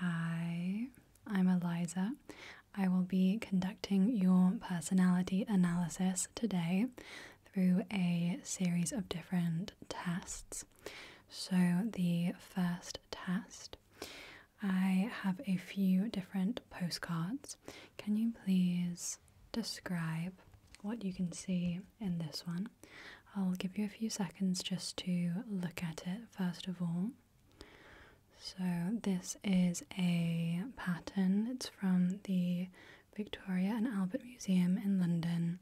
Hi, I'm Eliza. I will be conducting your personality analysis today through a series of different tests. So, the first test, I have a few different postcards. Can you please describe what you can see in this one? I'll give you a few seconds just to look at it first of all. So, this is a pattern, it's from the Victoria and Albert Museum in London,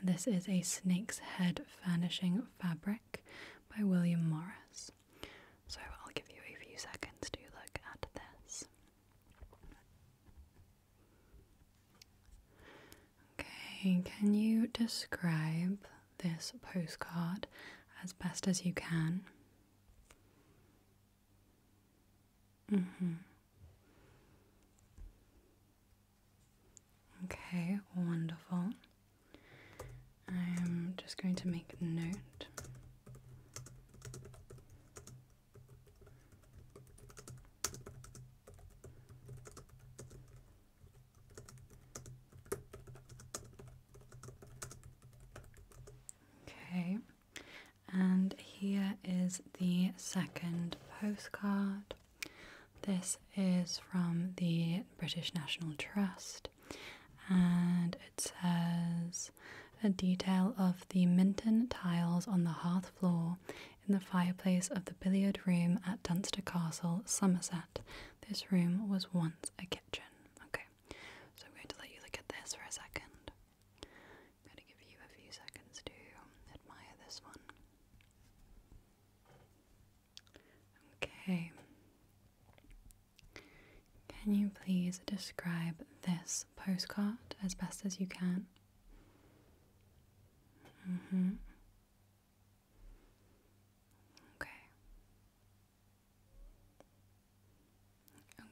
and this is a snake's head furnishing fabric by William Morris. So, I'll give you a few seconds to look at this. Okay, can you describe this postcard as best as you can. Mm-hmm. Okay, wonderful. I'm just going to make note. Okay, and here is the second postcard. This is from the British National Trust, and it says a detail of the Minton tiles on the hearth floor in the fireplace of the billiard room at Dunster Castle, Somerset this room was once a kitchen. Okay, so I'm going to let you look at this for a second. I'm going to give you a few seconds to admire this one. Okay. Can you please describe this postcard as best as you can? Mm-hmm. Okay.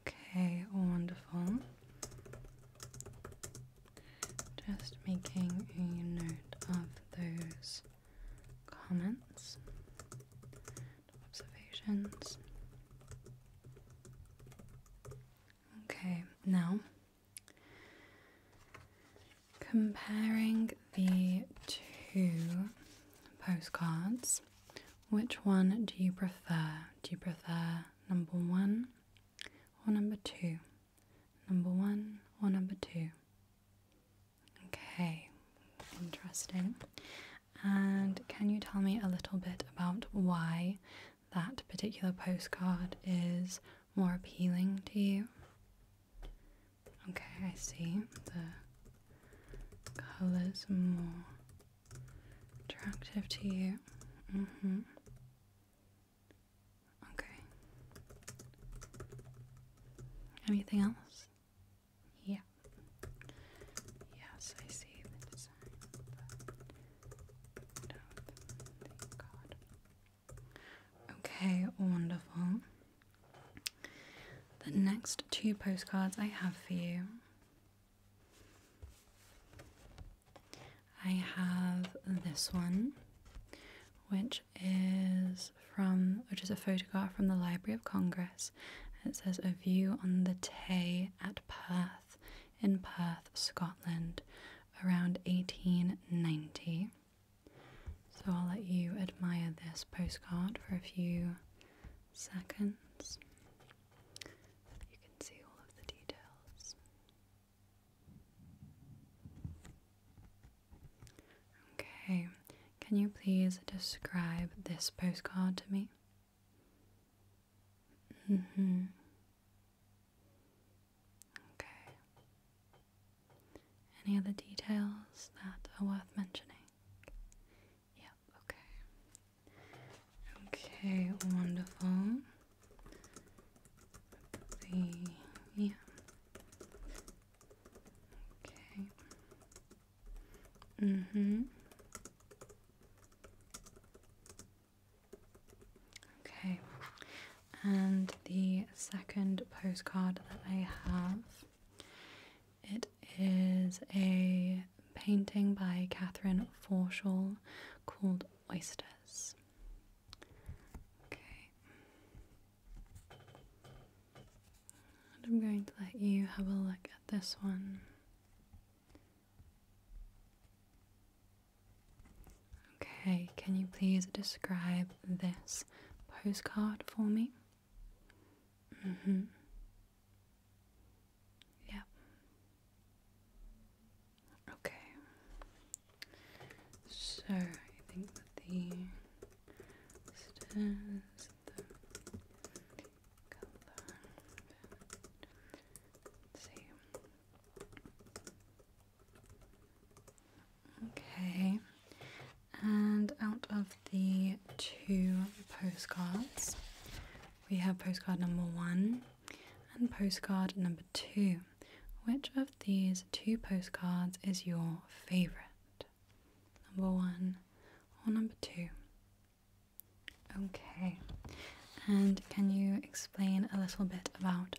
Okay, wonderful. Just making a note of those comments, observations. Okay, now Comparing the two postcards, which one do you prefer? Do you prefer number one or number two? Number one or number two? Okay, interesting. And can you tell me a little bit about why that particular postcard is more appealing to you? Okay, I see. The colors more attractive to you. hmm. Okay. Anything else? Yeah. Yes, I see the design, Okay, wonderful. The next two postcards I have for you. I have this one, which is from which is a photograph from the Library of Congress. It says a view on the Tay at Perth in Perth, Scotland, around 1890. So I'll let you admire this postcard for a few seconds. you can see all of the details. Okay, can you please describe this postcard to me? Mm hmm. Okay. Any other details that are worth mentioning? Yep, okay. Okay, wonderful. The yeah. Okay. Mm-hmm. Okay and the second postcard that I have it is a painting by Catherine Forshall called Oysters. Okay. And I'm going to let you have a look at this one. Okay, can you please describe this postcard for me? Mm hmm. Yep. Okay. So, I think the stairs, the color, see. Okay, and out of the two postcards, we have postcard number one and postcard number two. Which of these two postcards is your favorite? Number one or number two? Okay, and can you explain a little bit about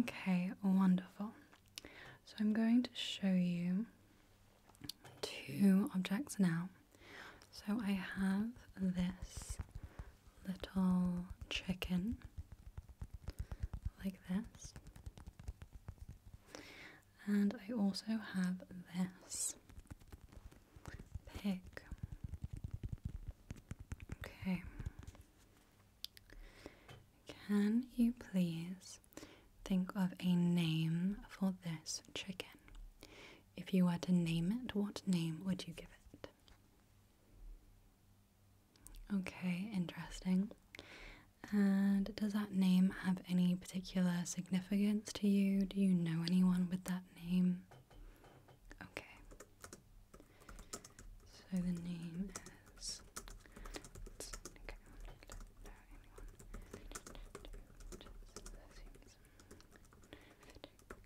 Okay, wonderful. So I'm going to show you two objects now. So I have this little chicken like this. And I also have this pig. Okay. Can you please think of a name for this chicken? If you were to name it, what name would you give it? Okay, interesting. And does that name have any particular significance to you? Do you know anyone with that name? Okay. So the name is.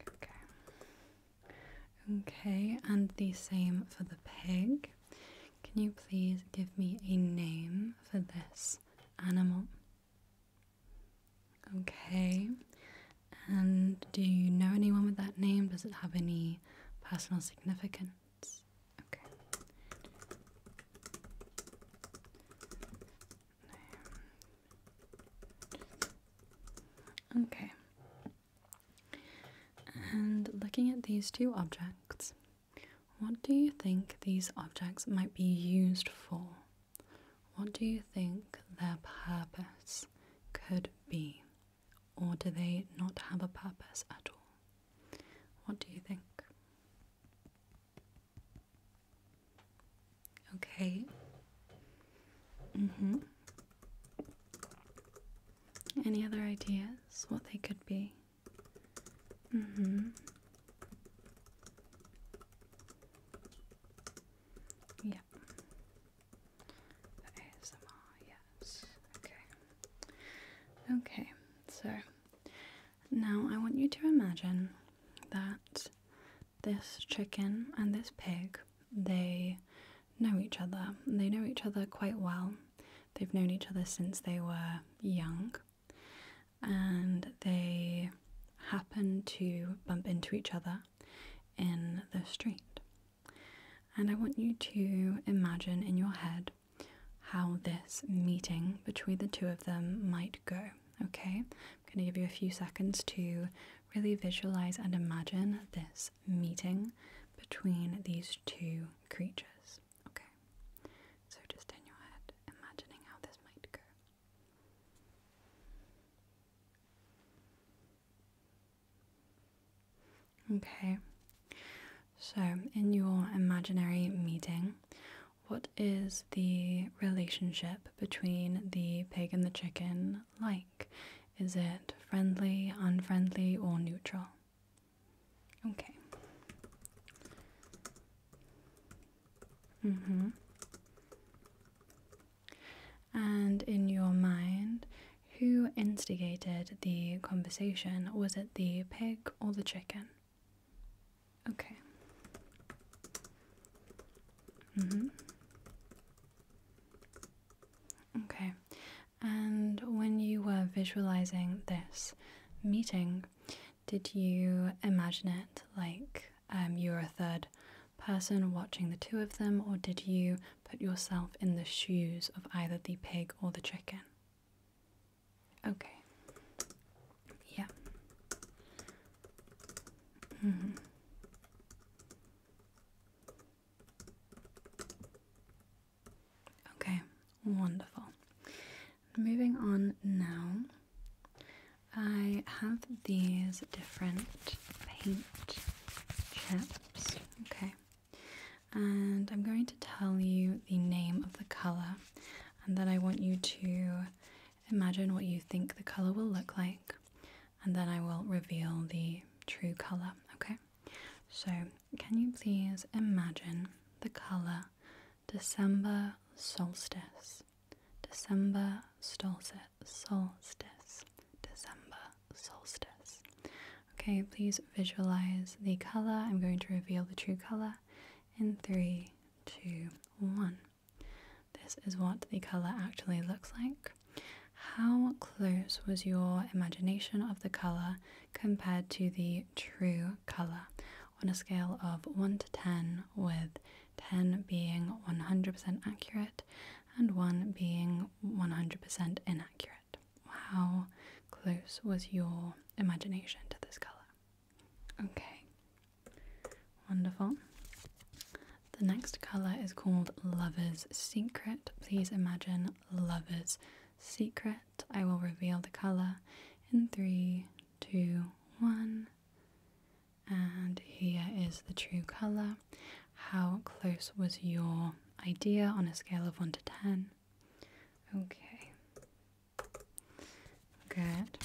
Okay, Okay, and the same for the pig. Can you please give me a name for this animal? Okay, and do you know anyone with that name? Does it have any personal significance? Okay. Okay. And looking at these two objects, what do you think these objects might be used for? What do you think their purpose could be? Or do they not have a purpose at all? What do you think? Okay. Mm-hmm. Any other ideas what they could be? Mm-hmm. Yeah. Okay, so now I want you to imagine that this chicken and this pig, they know each other. They know each other quite well. They've known each other since they were young. And they happen to bump into each other in the street. And I want you to imagine in your head how this meeting between the two of them might go. Okay, I'm going to give you a few seconds to really visualize and imagine this meeting between these two creatures. Okay, so just in your head, imagining how this might go. Okay, so in your imaginary meeting, what is the relationship between the pig and the chicken like? Is it friendly, unfriendly, or neutral? Okay. Mm hmm. And in your mind, who instigated the conversation? Was it the pig or the chicken? Okay. Mm-hmm. Okay. And when you were visualizing this meeting, did you imagine it like um, you were a third person watching the two of them, or did you Put yourself in the shoes of either the pig or the chicken. Okay. Yeah. -hmm. Okay, wonderful. Moving on now, I have these different paint chips. Okay, and I'm going to tell you the name of the color, and then I want you to imagine what you think the color will look like, and then I will reveal the true color, okay? So, can you please imagine the color December solstice? December solstice. Solstice. December solstice. Okay, please visualize the color. I'm going to reveal the true color in three, two, one. This is what the color actually looks like. How close was your imagination of the color compared to the true color on a scale of 1 to 10, with 10 being 100% accurate and 1 being 100% inaccurate? How close was your imagination to this color? Okay, wonderful. The next color is called Lover's Secret. Please imagine Lover's Secret. I will reveal the color in three, two, one. And here is the true color. How close was your idea on a scale of 1 to 10? Okay. Good.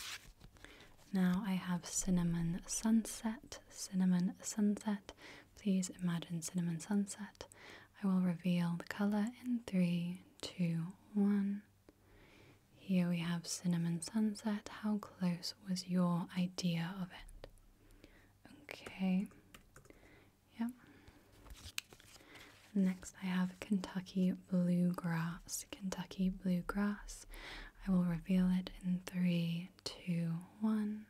Now I have cinnamon sunset. Cinnamon sunset. Please imagine cinnamon sunset. I will reveal the color in three, two, one. Here we have cinnamon sunset. How close was your idea of it? Okay. Yep. Next, I have Kentucky Bluegrass. Kentucky Bluegrass. I will reveal it in three, two, one.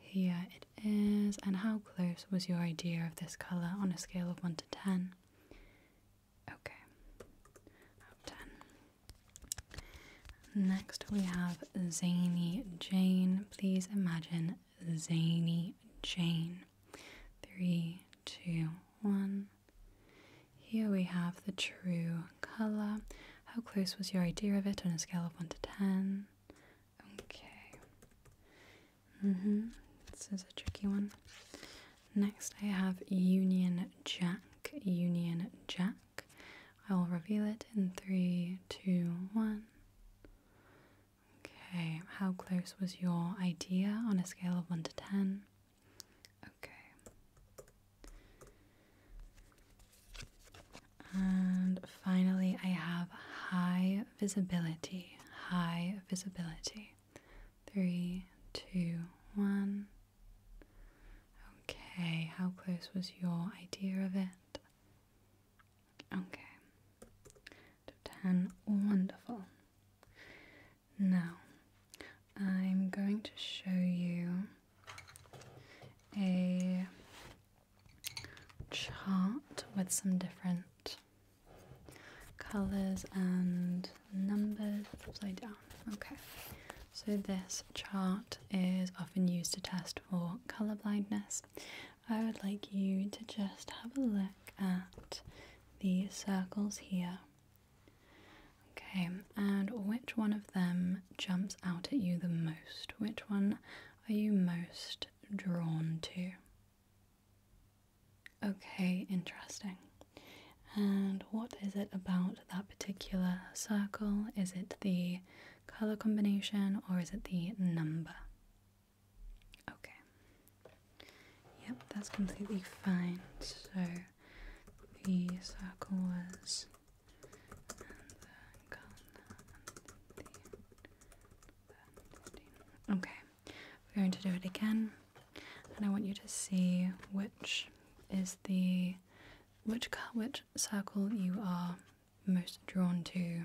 Here it is. And how close was your idea of this color on a scale of 1 to 10? Okay. 10. Next, we have Zany Jane. Please imagine Zany Jane. Three, two, one. Here we have the true color. How close was your idea of it on a scale of 1 to 10? Okay. mm This is a tricky one. Next, I have Union Jack. Union Jack. I will reveal it in three, two, one. Okay, how close was your idea on a scale of 1 to 10? Okay. And finally, I have high visibility. High visibility. Three, two, one. Okay, how close was your idea of it? Okay. Out 10. Wonderful. Now, I'm going to show you a chart with some different colors and numbers upside down. Okay. So this chart is often used to test or colour blindness, I would like you to just have a look at these circles here. Okay, and which one of them jumps out at you the most? Which one are you most drawn to? Okay, interesting. And what is it about that particular circle? Is it the color combination or is it the number? Okay. Yep, that's completely fine. So the circle was Okay. We're going to do it again and I want you to see which is the which which circle you are most drawn to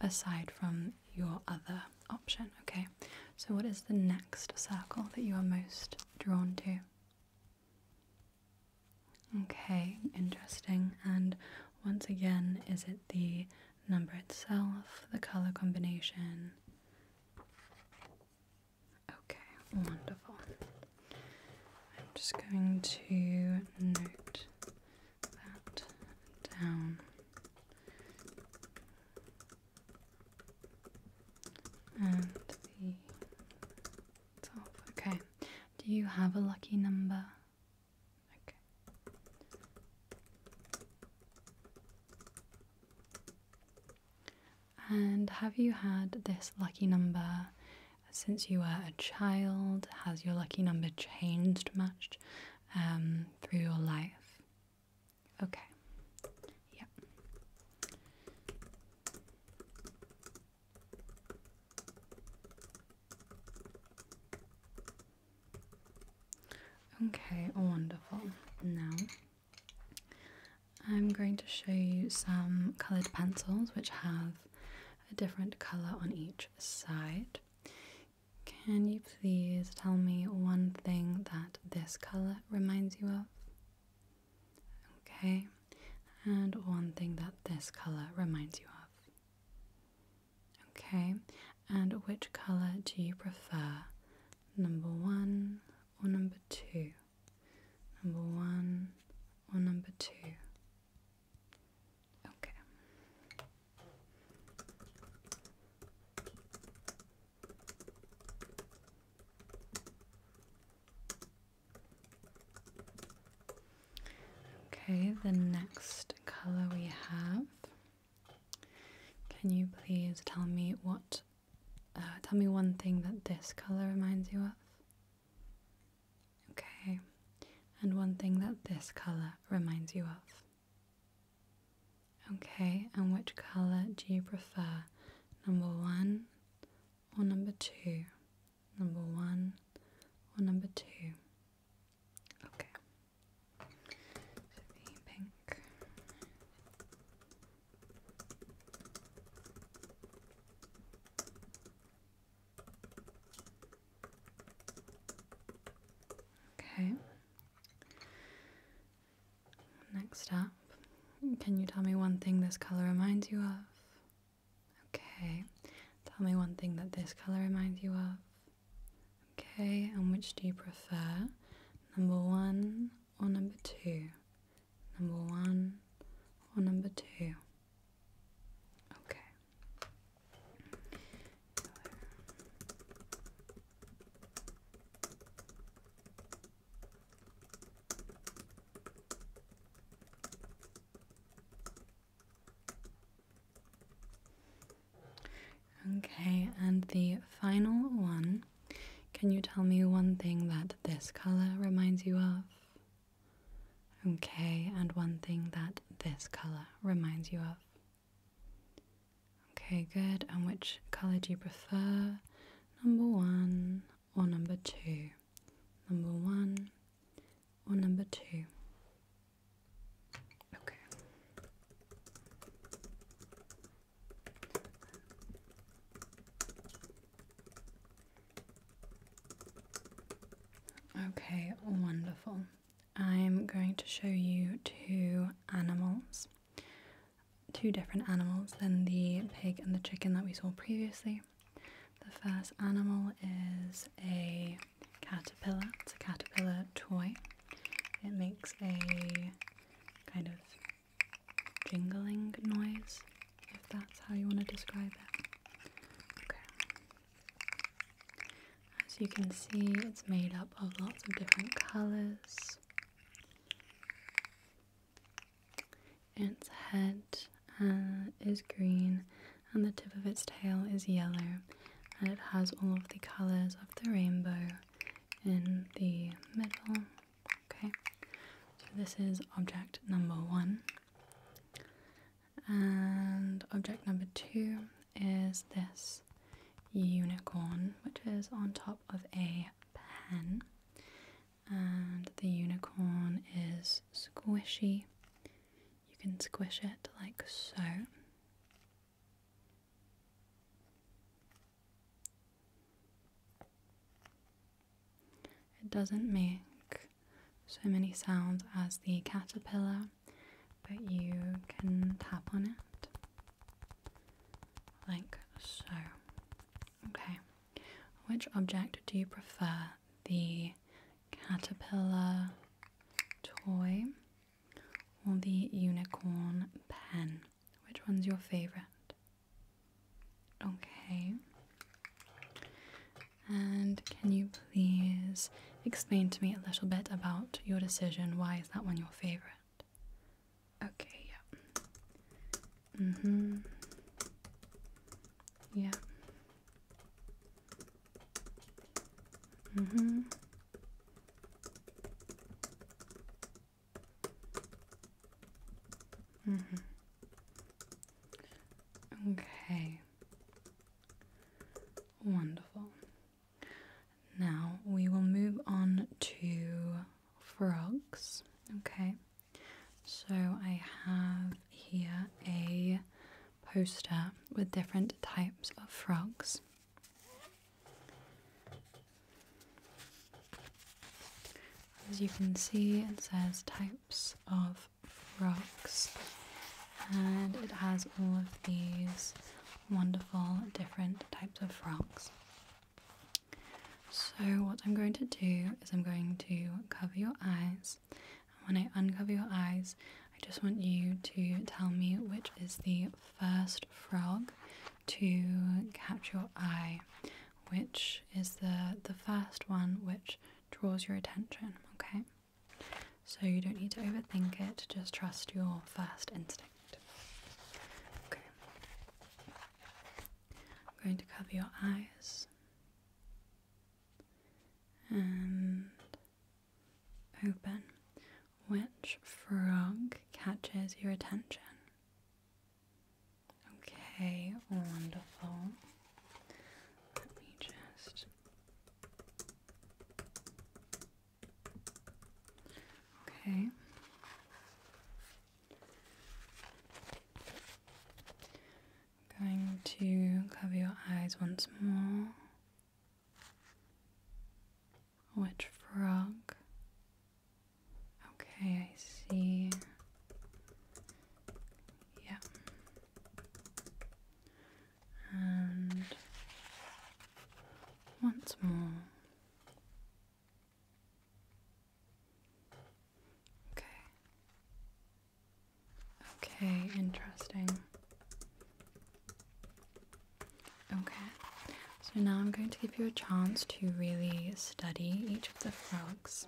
aside from your other option, okay? So, what is the next circle that you are most drawn to? Okay, interesting. And once again, is it the number itself, the color combination? Okay, wonderful. I'm just going to note that down. And the Okay. Do you have a lucky number? Okay. And have you had this lucky number since you were a child? Has your lucky number changed much um, through your life? Okay. Yeah. Okay, wonderful. Now I'm going to show you some coloured pencils which have a different color on each side. Can you please tell me one thing that this color reminds you of? Okay, and one thing that this color reminds you of. Okay, and which color do you prefer? Number one or number two? Number one or number two? Okay. Okay, the next color we have. Can you please tell me what? Uh, tell me one thing that this color reminds you of. Okay, and one thing that this colour reminds you of. Okay, and which colour do you prefer? Number one or number two? Number one or number two? Okay. So the pink. Okay. Next up, can you tell me one thing this color reminds you of? Okay. Tell me one thing that this color reminds you of. Okay, and which do you prefer? Number one or number two? Number one or number two? Okay. Okay, and the final one. Can you tell me one thing that this color reminds you of? Okay, and one thing that this colour reminds you of. Okay, good. And which colour do you prefer? Number one or number two? Number one or number two? Okay. Okay, wonderful. I'm going to show you two animals, two different animals than the pig and the chicken that we saw previously. The first animal is a caterpillar, it's a caterpillar toy. It makes a kind of jingling noise if that's how you want to describe it. Okay. As you can see, it's made up of lots of different colors. Its head uh, is green, and the tip of its tail is yellow, and it has all of the colors of the rainbow in the middle. Okay, so this is object number one. And object number two is this unicorn, which is on top of a pen. And the unicorn is squishy. You can squish it like so. It doesn't make so many sounds as the caterpillar, but you can tap on it like so. Okay, which object do you prefer? The caterpillar toy or the unicorn pen? Which one's your favorite? Okay. And can you please explain to me a little bit about your decision? Why is that one your favorite? Okay, yeah. Mm hmm. Yeah. Mm hmm. Mm hmm. Okay. Wonderful. Now we will move on to frogs. Okay. So I have here a poster with different types of frogs. As you can see, it says types of rocks, and it has all of these wonderful different types of frogs. So, what I'm going to do is, I'm going to cover your eyes. And when I uncover your eyes, I just want you to tell me which is the first frog to catch your eye, which is the, the first one which draws your attention, okay? So you don't need to overthink it, just trust your first instinct. Okay. I'm going to cover your eyes and open. Which frog catches your attention? Okay, wonderful. Let me just. Okay. i going to cover your eyes once more. Which frog? Okay, I see. Yeah. And once more. Okay. Okay, interesting. Okay, so now I'm going to give you a chance to really study each of the frogs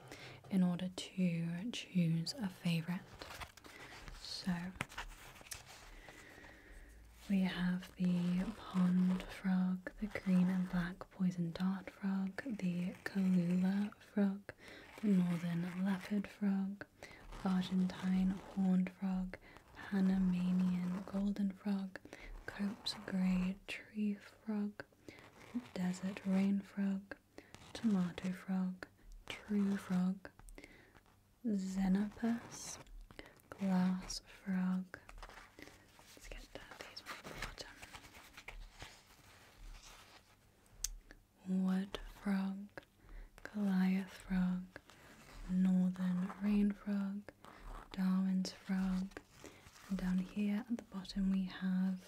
in order to choose a favorite. So we have the pond frog, the green and black poison dart frog, the Kalula frog, the northern leopard frog, Argentine horned frog, Panamanian golden frog, Cope's grey tree frog, desert rain frog, tomato frog, true frog, xenopus, glass frog. Let's get to these from the bottom. Wood frog, Goliath frog, northern rain frog, Darwin's frog, and down here at the bottom we have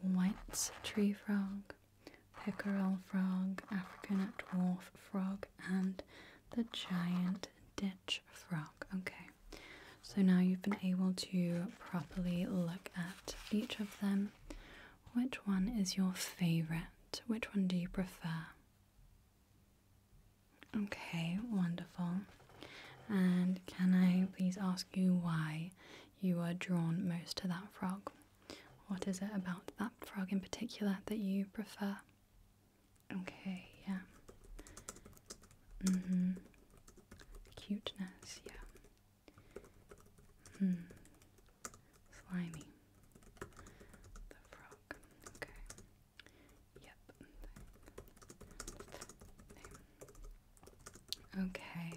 white tree frog, pickerel frog, African dwarf frog, and the giant ditch frog. Okay, so now you've been able to properly look at each of them. Which one is your favorite? Which one do you prefer? Okay, wonderful. And can I please ask you why you are drawn most to that frog? What is it about that frog in particular that you prefer? Okay, yeah. Mm hmm. Cuteness, yeah. Hmm. Slimy. The frog. Okay. Yep. Okay.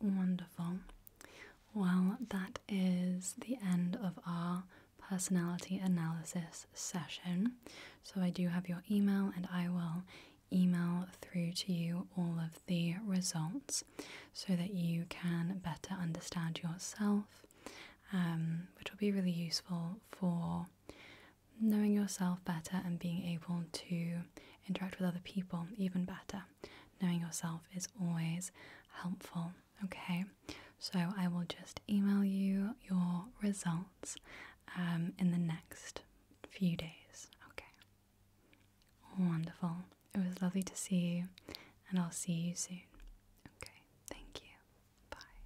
Wonderful. Well, that is the end of our personality analysis session. So, I do have your email, and I will email through to you all of the results so that you can better understand yourself, um, which will be really useful for knowing yourself better and being able to interact with other people even better. Knowing yourself is always helpful. Okay, so I will just email you your results um, in the next few days. Okay, wonderful. It was lovely to see you, and I'll see you soon. Okay, thank you. Bye.